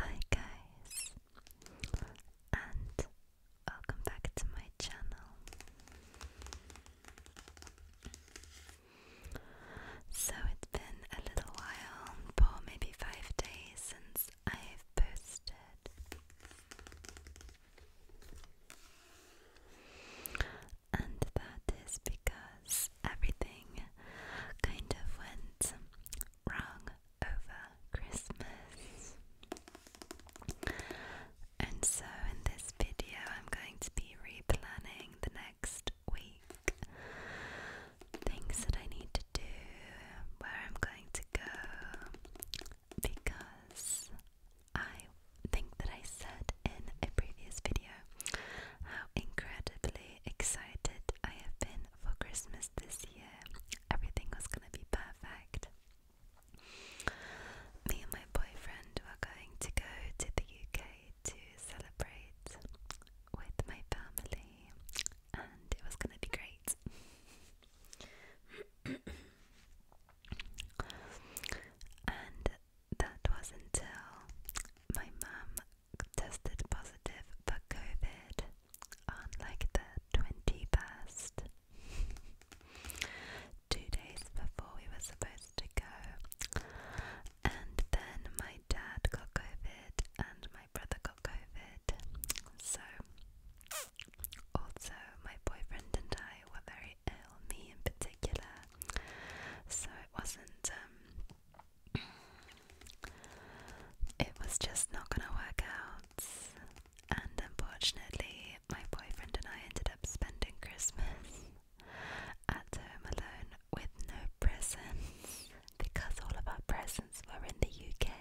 Hi guys and welcome back to my channel. So it's been a little while, for maybe five days since I've posted and that is because everything kind of went wrong over Christmas. And so, in this video, I'm going to be replanning the next week. Things that I need to do, where I'm going to go, because I think that I said in a previous video how incredibly excited I have been for Christmas this year. Everything was gonna be perfect. Me and my boyfriend were going to go to the UK to celebrate with my family, and it was gonna be great. and that was not until my mum tested positive for COVID on like the 21st. Two days before we were supposed to go. And then my dad got COVID and my brother got COVID. So, also, my boyfriend and I were very ill, me in particular. So, it wasn't um, it was just not gonna work out, and unfortunately, my boyfriend and I ended up spending Christmas at home alone with no presents because all of our presents were in the UK.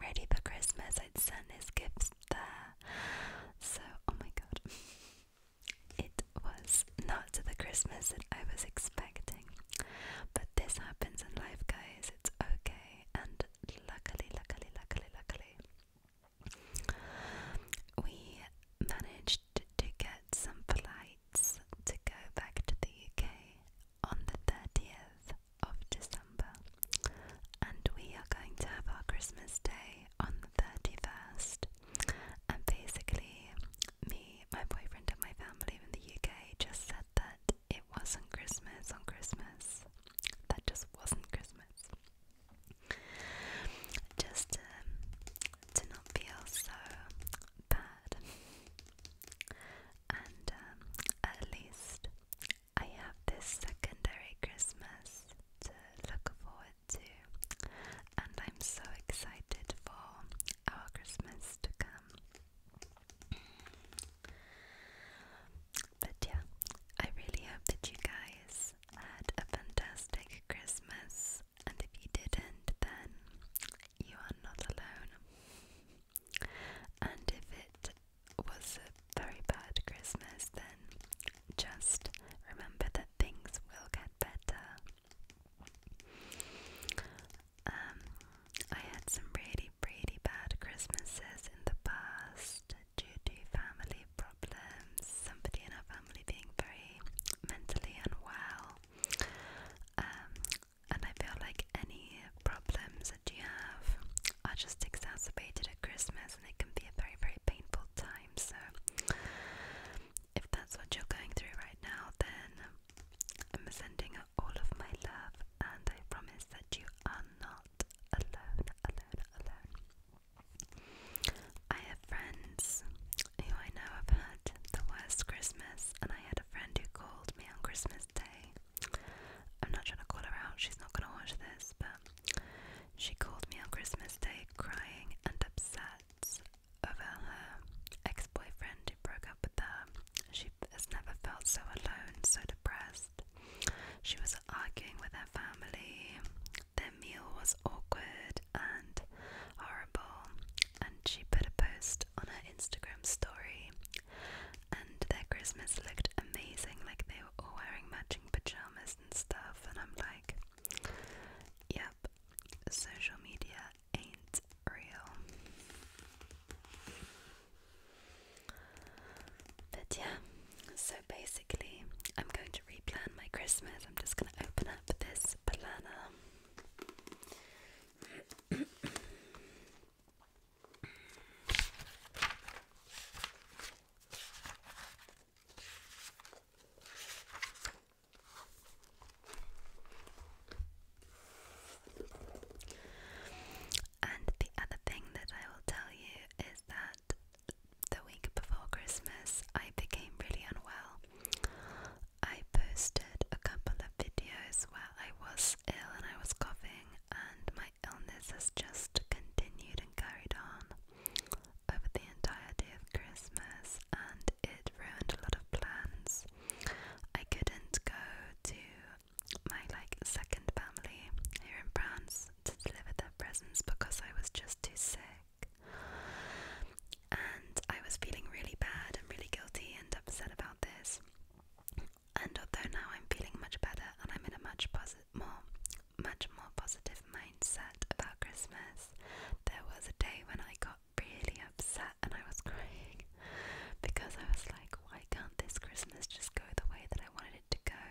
Ready for Christmas, I'd send his gifts there. So, oh my god. It was not the Christmas that I was expecting, but this happens in life, guys. It's okay, and luckily, luckily, luckily, luckily, we managed to get some flights to go back to the UK on the 30th of December, and we are going to have our Christmas day on the 31st. And basically, me, my boyfriend, and my family in the UK just said that it wasn't Christmas on Christmas. That just wasn't Christmas. Just um, to not feel so bad. And um, at least I have this secondary Christmas to look forward too. And I'm so excited for our Christmas to come. But yeah, I really hope that you guys had a fantastic Christmas. And if you didn't, then you are not alone. And if it was a very bad Christmas, then just remember that things will get better um, I had some really, really bad Christmases in the past due to family problems, somebody in our family being very mentally unwell. Um, and I feel like any problems that you have are just exacerbated at Christmas and it can be a very, very painful time. So if that's what you're going through right now, then I'm sending all of my love, and I promise that you are not alone, alone, alone. I have friends who I know have had the worst Christmas, and I had a friend who called me on Christmas Day. I'm not trying to call her out, she's not going to watch this, but she called me on Christmas Day crying and upset over her ex boyfriend who broke up with her. She has never felt so alone, so depressed. She was arguing with her family, their meal was awkward and horrible, and she put a post on her Instagram story. And their Christmas looked amazing, like they were all wearing matching pajamas and stuff. And I'm like, yeah, social media ain't real. But yeah, so basically, I'm going to replan my Christmas. I'm just going to open up this planner. And the other thing that I will tell you is that the week before Christmas I became really unwell. I posted a couple of videos while I was ill and I was coughing, and my illness has just continued and carried on over the entire day of Christmas and it ruined a lot of plans. I couldn't go to my like second family here in France to deliver their presents because I was just too sick. And I was feeling really bad and really guilty and upset about this. And although now I'm feeling much better and I'm in a much posi more much more positive mindset about Christmas, there was a day when I got really upset and I was crying because I was like, why can't this Christmas just go the way that I wanted it to go?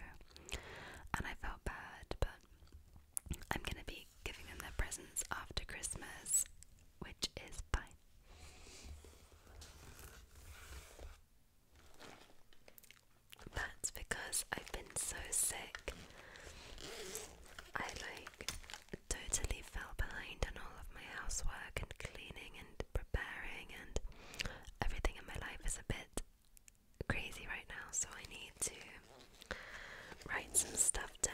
And I felt bad, but I'm gonna be giving them their presents after Christmas, which is fine. That's because I've been so sick. I like totally fell behind on all of my housework and cleaning and preparing, and everything in my life is a bit crazy right now, so I need to write some stuff down.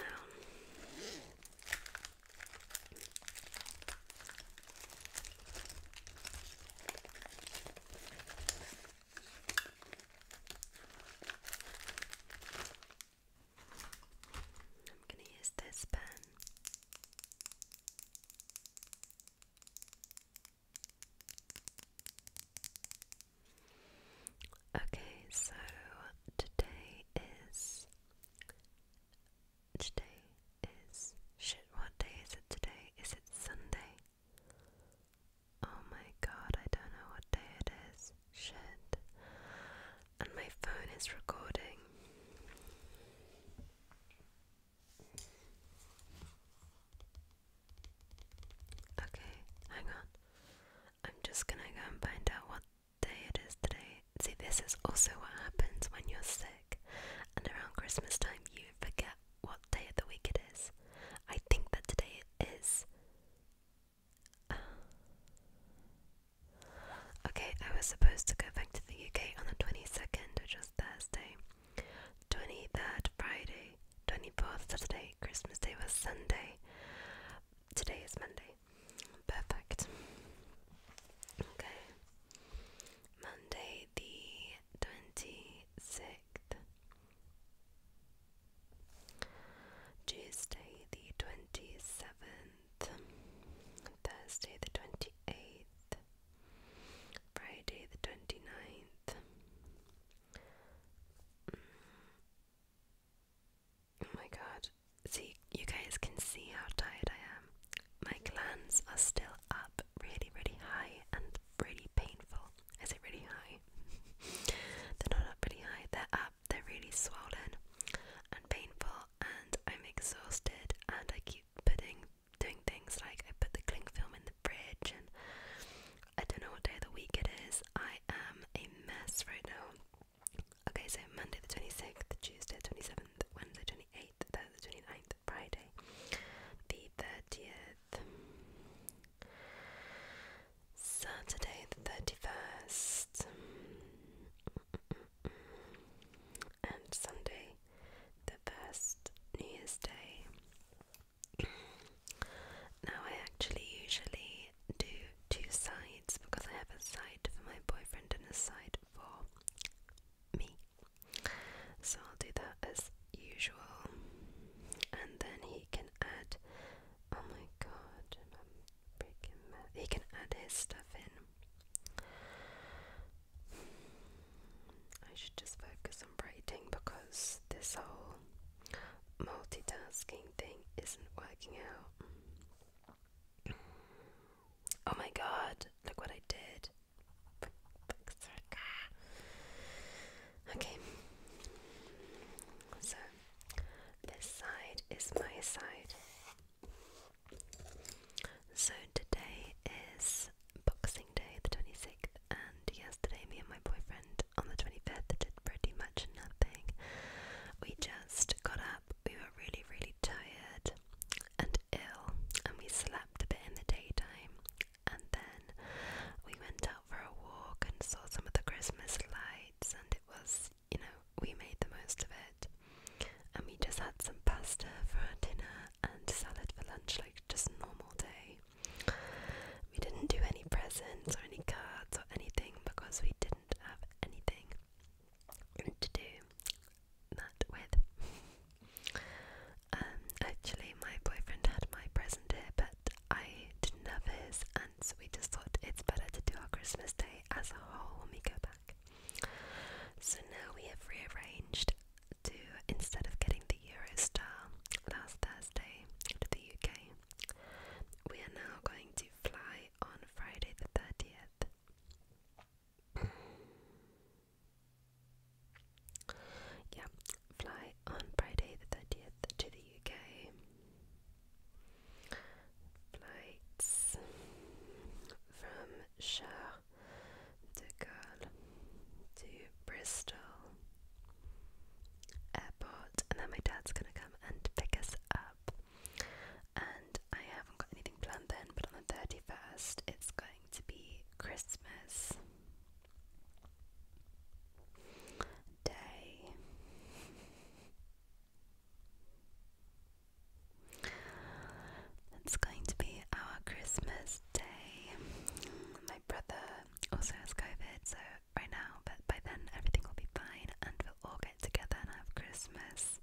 I'm going to use this pen. Okay, so today is today is shit what day is it today? Is it Sunday? Oh my god, I don't know what day it is. Shit. And my phone is recording. Okay, hang on. I'm just gonna go and find out what day it is today. See, this is also what happens when you're sick, and around Christmas time, you forget what day of the week it is. I think that today it is okay, I was supposed to go back to the UK on the 22nd, which was Thursday, 23rd, Friday, 24th, Saturday, Christmas Day was Sunday, today is Monday. Perfect. Okay. Monday the 26th. Tuesday the 27th, Thursday the 28th, Friday the 29th, mm. oh my god, see, you guys can see how tired I am. My glands are still up really, really high and really painful. Is it really high? they're not up really high, they're up, they're really swollen and painful, and I'm exhausted. And I keep putting doing things like I put the cling film in the fridge, and I don't know what day of the week it is. I am a mess right now. Okay, so Monday the 26th, Tuesday the 27th, Wednesday the 28th, Thursday the 29th, Friday the 30th. Saturday the 31st and Sunday the 1st New Year's Day. now, I actually usually do two sides because I have a side for my boyfriend and a side for me. So I'll do that as usual, and then he can add Oh my god, breaking He can add his stuff in. I should just focus on writing because this whole multitasking thing isn't working out. Oh my god, look what I did. Okay, so this side is my side. So today is Boxing Day, the 26th, and yesterday, me and my boyfriend on the 25th did pretty much nothing. We just got up, we were really, really tired and ill, and we slept a bit in the daytime and then we went out for a walk and saw some of the Christmas lights, and it was, you know, we made the most of it. And we just had some pasta for our dinner and salad for lunch, like just normal day. We didn't do any presents or any cards or anything because we didn't have anything to do that with. Um, actually, my boyfriend had my present here, but I didn't have his, and so we just thought it's better to do our Christmas day as a whole when we go back. So now we have rearranged to instead of getting the Eurostar last Thursday to the UK, we are now going to fly on Friday the 30th. Yeah, fly on Friday the 30th to the UK. Flights from Charles de Gaulle to Bristol Airport, and then my dad's gonna come and pick us up. And I haven't got anything planned then, but on the 31st, it's going to be Christmas day. It's going to be our Christmas day. My brother also has COVID, so right now, but by then everything will be fine and we'll all get together and have Christmas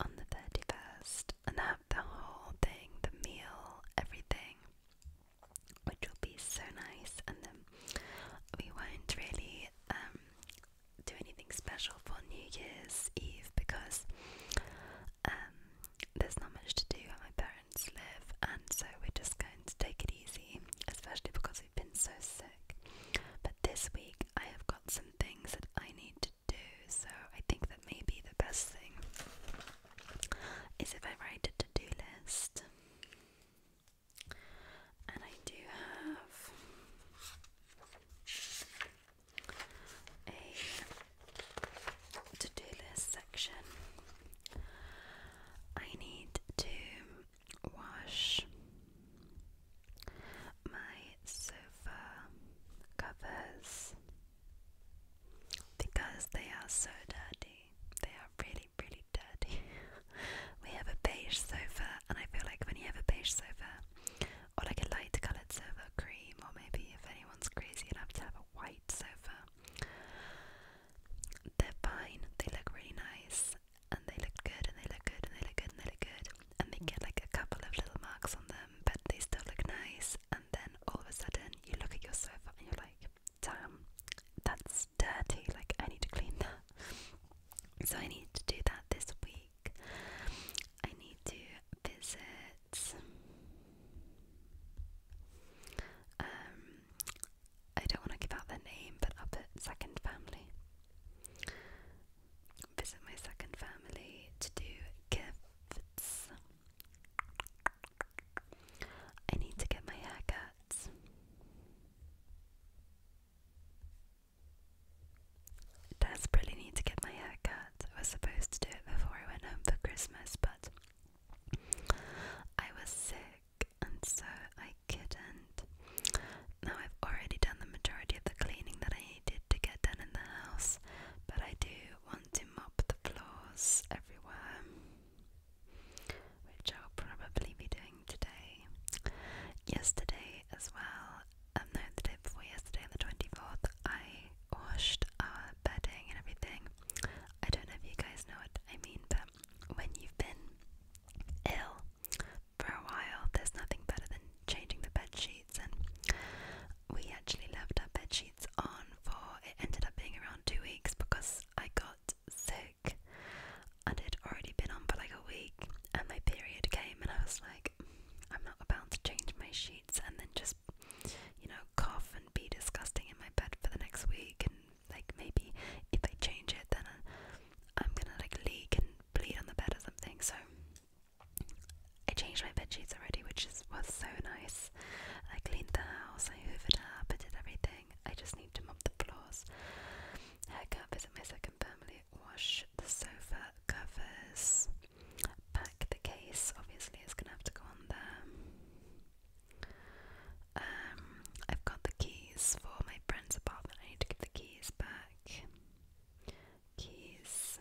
on the 31st and have the whole thing the meal, everything which will be so nice. And then we won't really um, do anything special for New Year's Eve because um, there's not much to do where my parents live, and so we're just going to take it easy, especially because we've been so sick. But this week I have got some things that I need to do, so I think that maybe the best thing is if I write a to do list and I do have a to do list section. I need to wash my sofa covers because they are so dirty. They are really really, really dirty. we have a beige sofa, and I feel like when you have a beige sofa, or like a light coloured sofa, cream, or maybe if anyone's crazy enough to have a white sofa, they're fine. They look really nice, and they look good, and they look good, and they look good, and they look good, and they get like a couple of little marks on them, but they still look nice. And then all of a sudden, you look at your sofa and you're like, damn, that's dirty, like I need to clean that. So I need to do that this week. I need to visit. Um, I don't want to give out their name, but I'll put second family. Visit my second family to do gifts. I need to get my haircuts. Desperately need to get my haircut. I was supposed to do it before I went home for Christmas, but I was sick and so I couldn't. Now I've already done the majority of the cleaning that I needed to get done in the house, but I do want to mop the floors everywhere which I'll probably be doing today. Yesterday as well, um, the day before yesterday, on the 24th, I washed our bedding and everything. I don't know if you guys know what I mean, but when you've been ill for a while, there's nothing better than changing the bed sheets, and we actually loved our bed sheets sheets on for it ended up being around two weeks because I got sick and it already been on for like a week and my period came and I was like I'm not about to change my sheets and then just you know cough and be disgusting in my bed for the next week and like maybe if I change it then I'm gonna like leak and bleed on the bed or something so I changed my bed sheets already which was so nice I cleaned the house, I hoovered up, I did everything. I just need to mop the floors. I can't visit my second family, wash the sofa covers, pack the case, obviously it's gonna have to go on there. Um, I've got the keys for my friend's apartment, I need to get the keys back. Keys.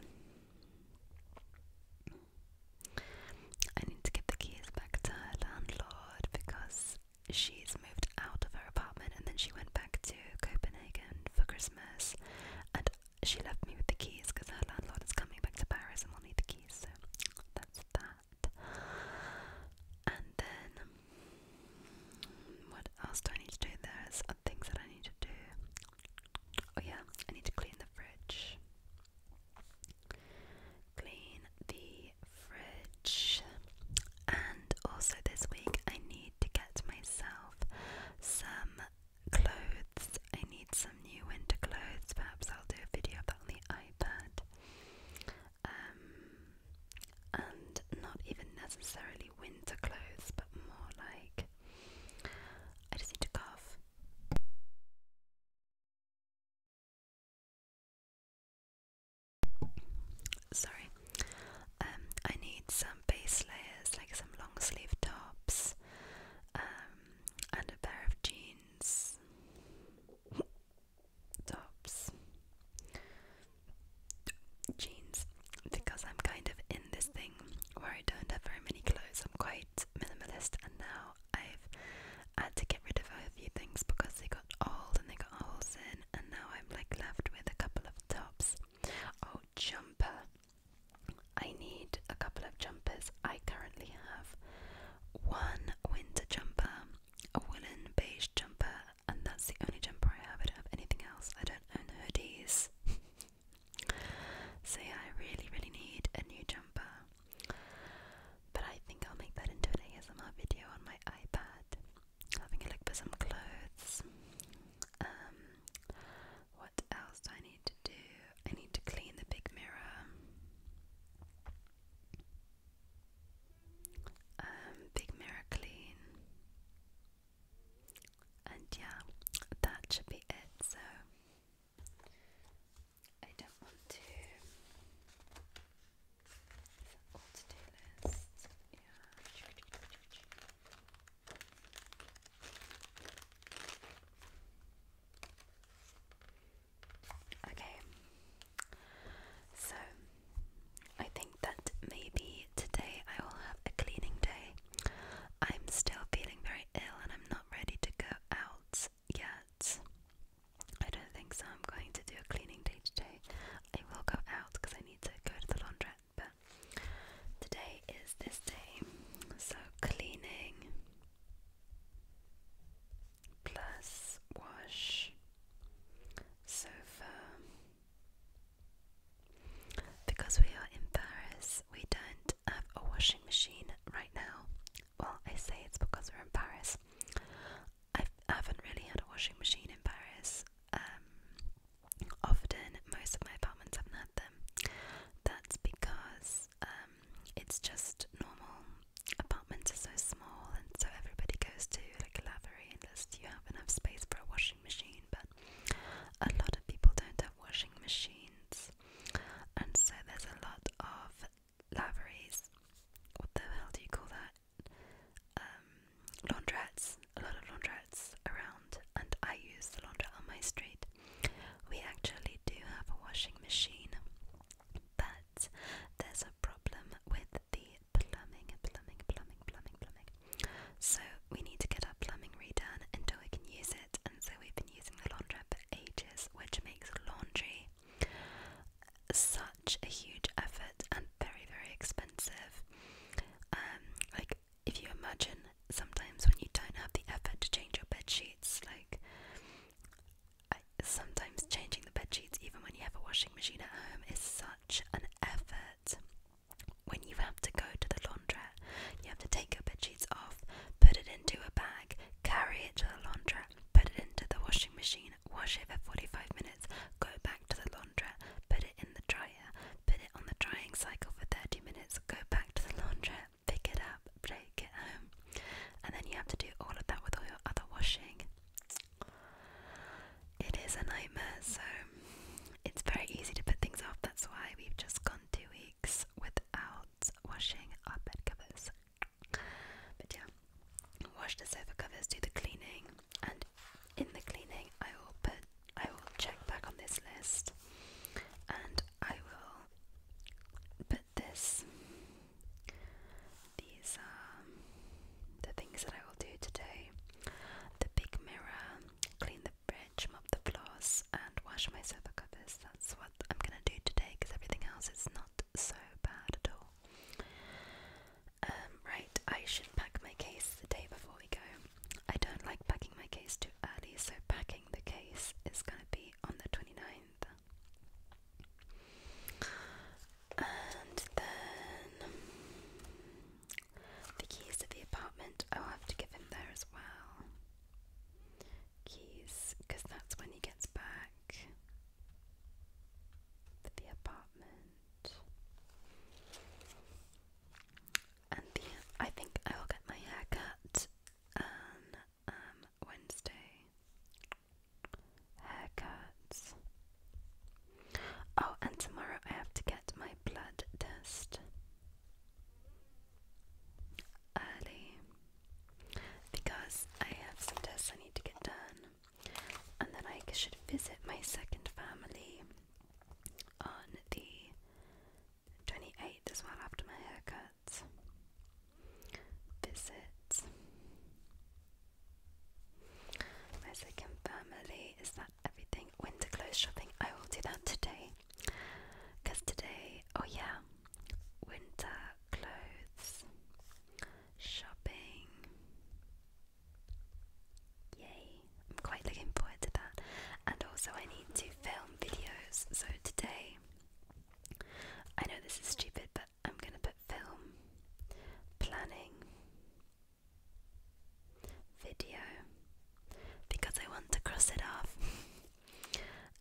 I need to give the keys back to her landlord because she's moved out of her apartment and then she went back to Copenhagen for Christmas and she left me with the keys because her landlord is coming back to Paris and we will need the keys, so that's that. And then, what else do I need to do? There's things that I need to do. Oh, yeah, I need to clean the fridge. Clean the fridge. And also, this week I need to get myself some clothes. I need some new winter clothes. Perhaps I'll do a video about on the iPad. Um, and not even necessarily winter clothes, but more like I just need to cough. Sorry. Um, I need some base layers, like some long sleeve tops, um, and a pair of jeans tops. Jeans, because I'm kind of in this thing where I don't have very many clothes. I'm quite minimalist, and now I've had to get rid of a few things because they got old and they got holes in, and now I'm like left with a couple of tops. Oh, jumper! I need a couple of jumpers. I currently have one winter jumper, a woolen beige jumper, and that's the only jumper I have. I don't have anything else. I don't own hoodies. so I really, really need a new jumper. But I think I'll make that into an ASMR video on my iPad. Having a look for some clothes. Um, what else I need to do? I need to clean the big mirror. Um, big mirror clean. And yeah, that should be it. So I don't want to Okay, so I think that maybe today I will have a cleaning day. I'm still feeling very ill and I'm not ready to go out yet. I don't think so. I'm going to do a cleaning day today. I will go out because I need to go to the laundrette, but today is this day. So cleaning plus wash sofa. Because we are in Paris, we don't have a washing machine right now. Well, I say it's because we're in Paris. I've, I have not really had a washing machine in Paris. Um, often, most of my apartments haven't had them. That's because um, it's just normal. Apartments are so small, and so everybody goes to like a lavatory unless you have enough space for a washing machine. But a lot of people don't have washing machines, and so there's a lot of laveries. What the hell do you call that? Um, laundrettes. A lot of laundrettes around, and I use the laundrette on my street. We actually do have a washing machine, but there's a problem with the plumbing, plumbing, plumbing, plumbing, plumbing. So we need to get our plumbing redone until we can use it, and so we've been using the laundrette, ages, which makes laundry such a huge effort and very, very expensive. Um, like if you imagine sometimes when you don't have the effort to change your bed sheets, like sometimes changing the bed sheets, even when you have a washing machine at home, is such an effort. When you have to go to the laundrette, you have to take a bed sheets off, put it into a bag, carry it to the laundrette, put it into the washing machine, wash it for 45 minutes, go back to the laundrette, put it in the dryer, put it on the drying cycle for 30 minutes, go back to the laundrette, pick it up, take it home. And then you have to do all of that with all your other washing. It is a nightmare, so it's very easy to put things off. That's why we've just gone to a without washing our bed covers. But yeah, wash the sofa covers, do the cleaning, and in the cleaning, I will put, I will check back on this list, and I will put this, these are um, the things that I will do today: the big mirror, clean the fridge, mop the floors, and wash my sofa covers. That's what I'm gonna do today because everything else is not so bad at all. Um, I should pack my case the day before we go. I don't like packing my case too early, so packing the case is gonna be on the 29th. And then the keys to the apartment i have to give him there as well keys because that's when he gets back to the apartment. And the, I think I will get my hair on um, um, Wednesday. Haircuts. Oh, and tomorrow I have to get my blood test early because I have some tests I need to get done, and then I should visit my second family on the 28th as well after my haircut. Visit. My second family, is that everything? Winter clothes shopping. I will do that today. Because today, oh yeah, winter clothes, shopping. Yay, I'm quite looking forward to that. And also, I need to film videos. So today, I know this is stupid, but I'm gonna put film, planning, video, because I want to cross it off.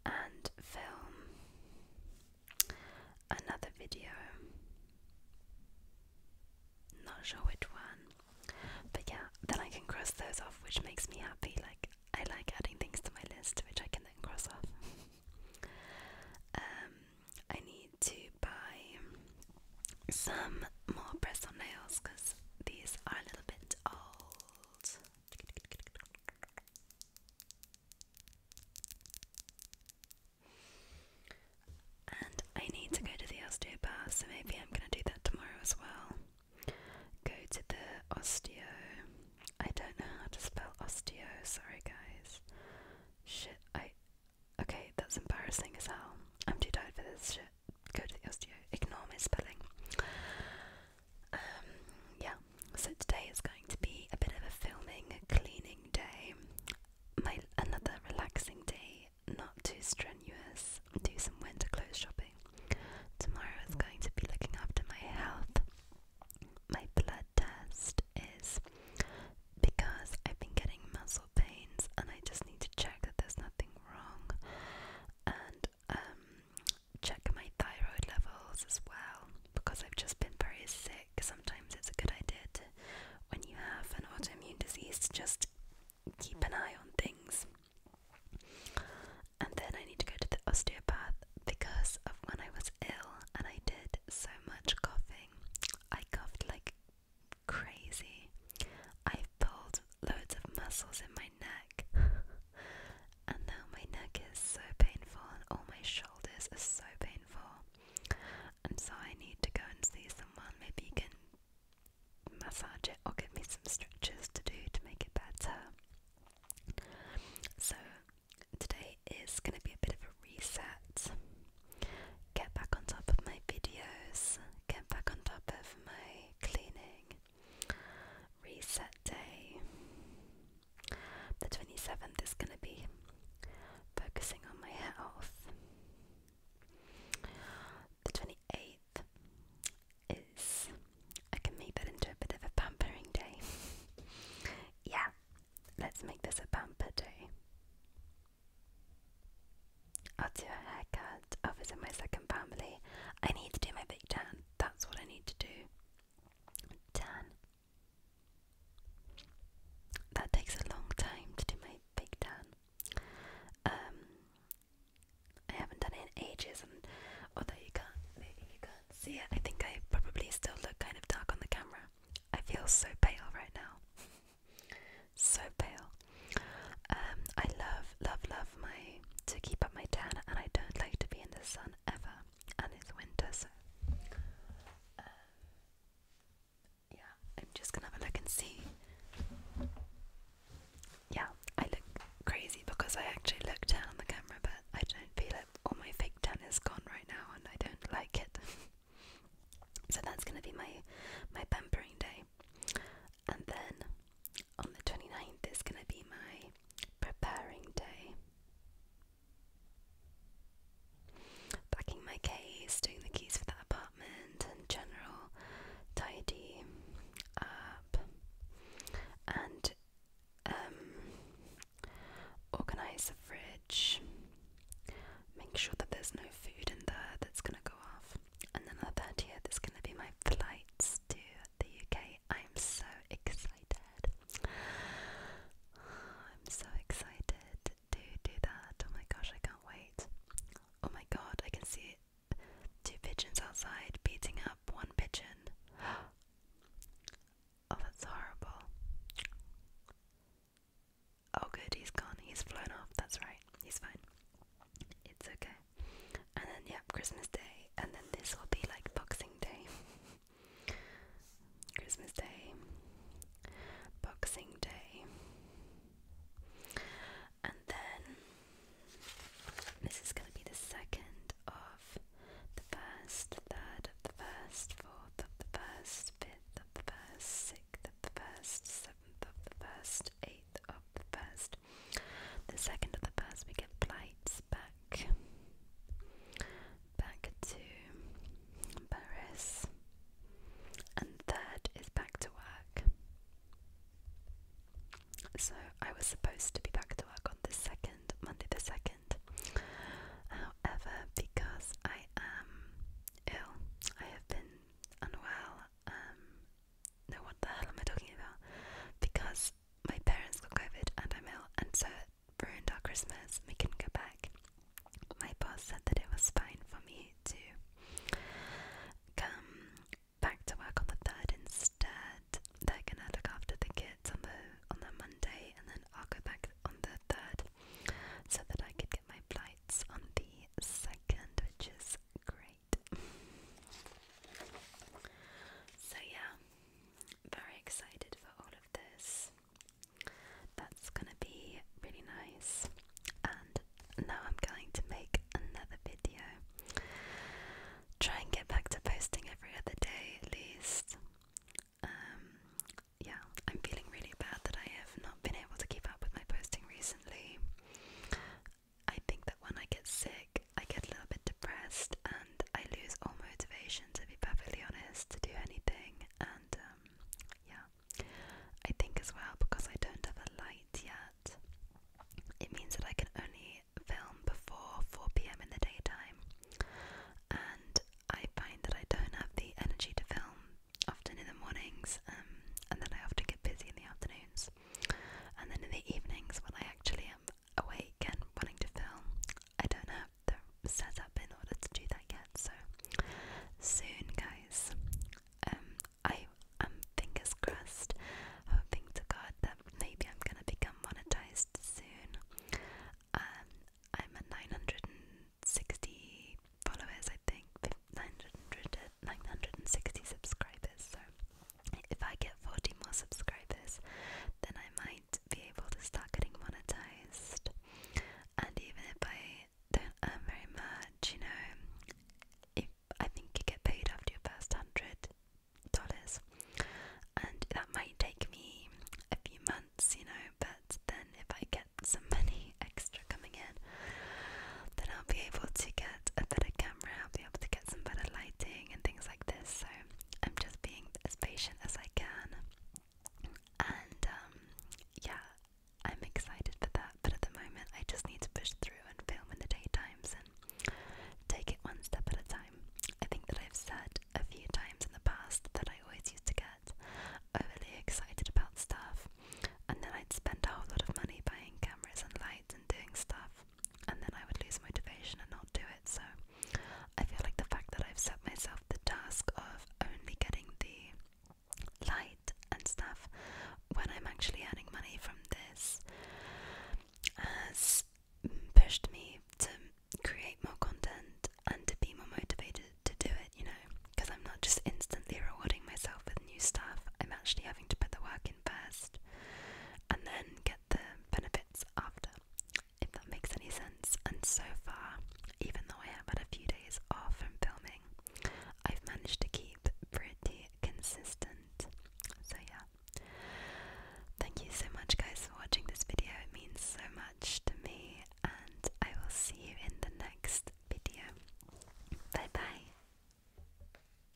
and film another video. Not sure which one, but yeah, then I can cross those off, which makes me happy. Like, I like adding things to my list, which I can then cross off. um, I need to buy some more press on nails because these are a little bit old. And I need to go to the osteopath, so maybe I'm going to do that tomorrow as well. Go to the osteo. I don't know how to spell osteo, sorry guys. Shit, I. Okay, that's embarrassing as hell. I'm too tired for this shit. Go to the osteo. Ignore my spelling. Um, yeah, so today is going to be a bit of a filming, cleaning day. My another relaxing day, not too strenuous. Do some winter clothes shopping. Tomorrow is going to be looking after my health. My blood test is because I've been getting muscle pains and I just need to check that there's nothing wrong. And um, check my thyroid levels as well because I've just been very sick. Sometimes it's a good idea to, when you have an autoimmune disease, to just keep an eye on things. And then I need to go to the osteopath because of when I was ill and I did so much coughing. I coughed like crazy. I pulled loads of muscles in my neck and now my neck is so painful and all my shoulders are so painful. And so I need to go and see someone. Maybe you can massage it or give me some stretches to do to make it better. So today is going to be a bit of a reset. Get back on top of my videos, get back on top of my cleaning, Reset day. The 27th is going to be focusing on my health. The 28th is. I can make that into a bit of a pampering day. yeah, let's make this a pamper day. I'll do a haircut. I'll visit my second family. I need to do my big tan. That's what I need to do. 10. That takes a long time to do my big tan. Um, I haven't done it in ages, and although you can maybe you can see it, I think I probably still look kind of dark on the camera. I feel so pale right now. so pale. Um, I love, love, love my to keep up my tan, and I don't like to be in the sun ever, and it's winter, so uh, yeah, I'm just gonna have a look and see. Yeah, I look crazy because I actually look down on the camera, but I don't feel it. All my fake tan is gone right now, and I don't like it. so that's gonna be my my pampering day, and then on the 29th is going to be my preparing day. Packing my keys, doing the keys for that apartment, and general tidy up and um, organize the fridge. Make sure that there's no food in there that's going to go off. And then on the 30th, it's going to be my flights to the UK I'm so excited. I'm so excited to do that. Oh my gosh, I can't wait. Oh my god, I can see two pigeons outside beating up one pigeon. Oh, that's horrible. Oh, good, he's gone. He's flown off. That's right. He's fine. It's okay. And then, yep, Christmas Day. And then this will be like Boxing Day. Christmas Day. Boxing Day. And then this is going to be the second of the first, third of the first, fourth of the first, fifth of the first, sixth of the first, seventh of the first, eighth of the first, the second of the first, we get flights back, back to Paris, and third is back to work. So I was supposed to be back to work on the second, Monday the second. However, because I am ill, I have been unwell. Um, no, what the hell am I talking about? Because my parents got COVID and I'm ill, and so it ruined our Christmas. We couldn't go back. My boss said that it was fine for me to come back to work on the third instead. They're gonna look after the kids on the on the Monday, and then I'll go back on the third, so that I could get my flights on the second, which is great so, yeah, very excited for all of this. That's gonna be really nice. And now I'm going to make another video. Try and get back to posting every other day at least. Um, yeah, I'm feeling really bad that I have not been able to keep up with my posting recently. I think that when I get sick, I get a little bit depressed and I lose all motivation, to be perfectly honest, to do anything. And um, yeah, I think as well because I don't have a light yet, it means that I can only film before 4 pm in the daytime. And I find that I don't have the energy to film often in the mornings, um, and then I often get busy in the afternoons. And then in the evenings, when I actually am awake and wanting to film. I don't have the setup in order to do that yet, so soon, guys. Um, I am fingers crossed, hoping to God that maybe I'm gonna become monetized soon. Um, I'm at 960 followers, I think, 900, 960 subscribers, so if I get 40 more subscribers, then I might be able to start getting monetized. And even if I don't earn very much, you know, if I think you get paid after your first hundred dollars, and that might take me a few months, you know. But then, if I get some money extra coming in, then I'll be able to get a better camera able to get some better lighting and things like this. So I'm just being as patient as I can. And um, yeah, I'm excited for that. But at the moment, I just need to push through and film in the daytimes and take it one step at a time. I think that I've said a few times in the past that I always used to get overly excited about stuff, and then I'd spend a whole lot of money buying cameras and lights and doing stuff and then I would lose motivation and not do it. So I feel like the fact that I've set myself the task of only getting the light and stuff when I'm actually earning money from this has pushed me to create more content and to be more motivated to do it, you know, because I'm not just instantly rewarding myself with new stuff. I'm actually having to put the work in first and then get the benefits after, if that makes any sense. And so far, even though I have had a few days off from filming, I've managed to keep pretty consistent. So, yeah. Thank you so much, guys, for watching this video. It means so much to me, and I will see you in the next video. Bye bye.